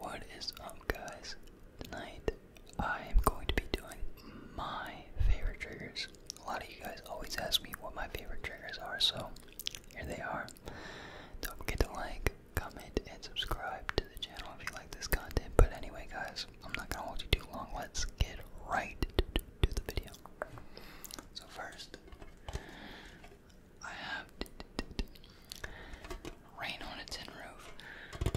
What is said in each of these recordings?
What is up, guys? Tonight I am going to be doing my favorite triggers. A lot of you guys always ask me what my favorite triggers are, so here they are. Don't forget to like, comment, and subscribe to the channel if you like this content. But anyway, guys, I'm not gonna hold you too long. Let's get right to, the video. So, first, I have rain on a tin roof.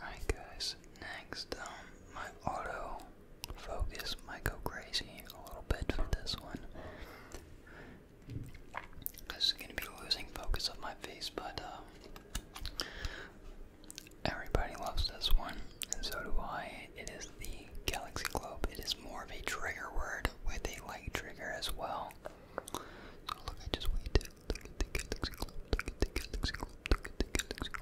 Alright guys, next um my auto focus might go crazy a little bit for this one. This is gonna be losing focus of my face, but uh, everybody loves this one, and so do I. It is the Galaxy Globe. It is more of a trigger word with a light trigger as well. So look, I just wait.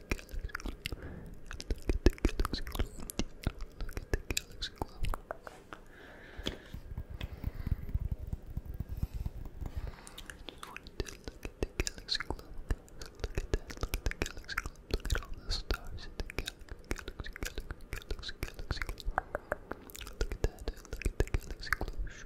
galaxy glow. Look at the galaxy glow. Just wanted to look at the galaxy glow. Look at that. Look at the galaxy glow. Look at all the stars in the galaxy, galaxy, galaxy, galaxy, galaxy glow. Look at that. Look at the galaxy glow.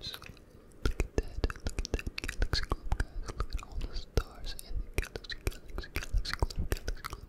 Just look at that, look at that galaxy globe, guys. Look all the stars in the galaxy, galaxy, galaxy globe, galaxy globe. Look at the galaxy globe.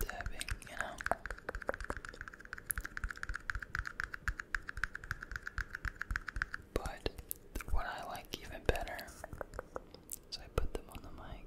dabbing, you know. But what I like even better is I put them on the mic.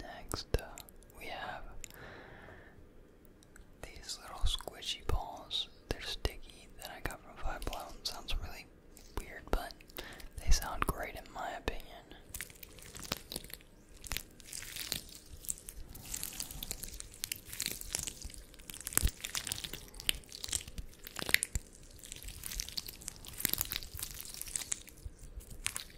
Next, uh, we have these little squishy balls. They're sticky that I got from Five Below. Sounds really weird, but they sound great in my opinion.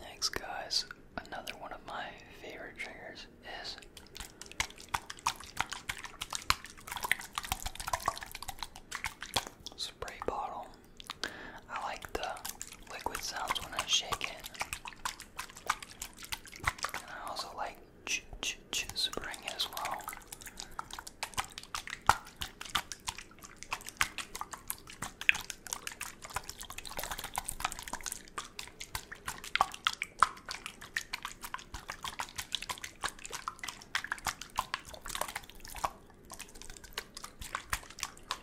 Next, guys, another one of my favorite triggers is spray bottle. I like the liquid sounds when I shake it. And I also like ch ch ch spring as well.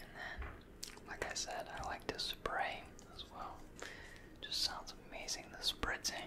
And then, like I said, I like to spray as well. Just sounds amazing, the spritzing.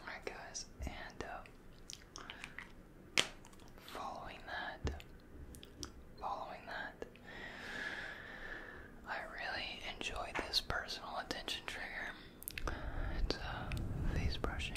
Alright, guys, and uh, following that, following that, I really enjoyed this personal attention trigger. It's a uh, face brushing.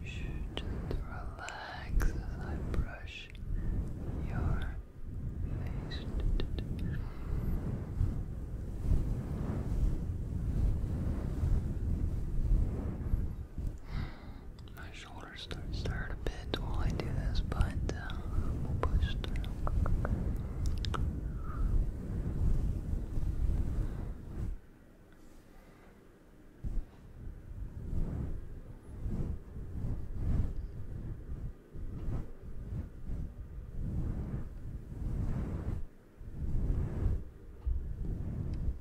You should just relax as I brush your face shoulders start to hurt a bit while I do this, but uh, we'll push through.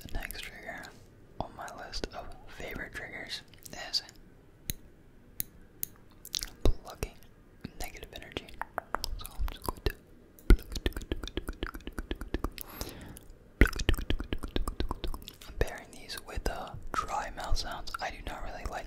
the next trigger on my list of favorite triggers is plucking negative energy. I'm pairing these with uh, dry mouth sounds. I do not really like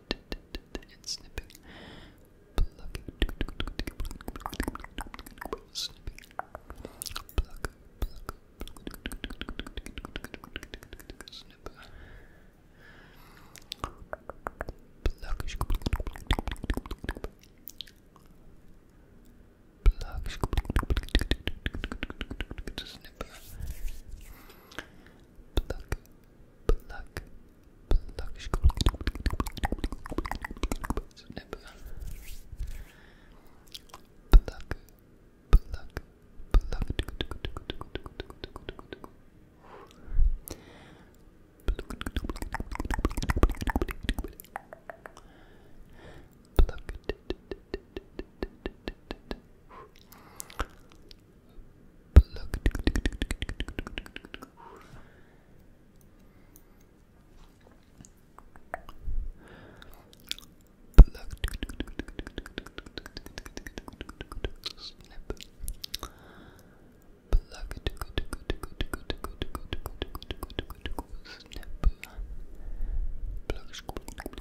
and snipping, plucking, snipping, pluck, pluck, snip, pluckish, pluckish, snip pluck, pluck, pluck. Snip. Pluck, pluck, pluck. Pluck, Pluck. Pluck. Snip. Pluck. Snip. Pluck. Pluck.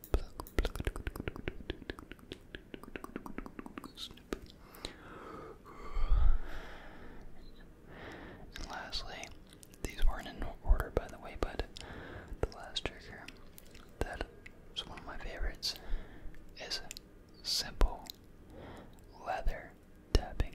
And lastly, these weren't in order by the way, but the last trigger that was one of my favorites is simple leather tapping.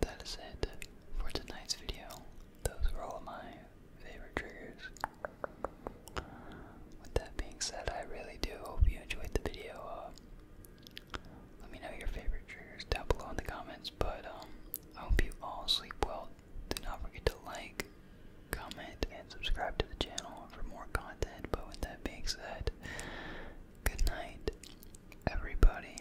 that is it for tonight's video. Those were all my favorite triggers. With that being said, I really do hope you enjoyed the video. Uh, let me know your favorite triggers down below in the comments, but um, I hope you all sleep well. Do not forget to like, comment, and subscribe to the channel for more content. But with that being said, good night, everybody.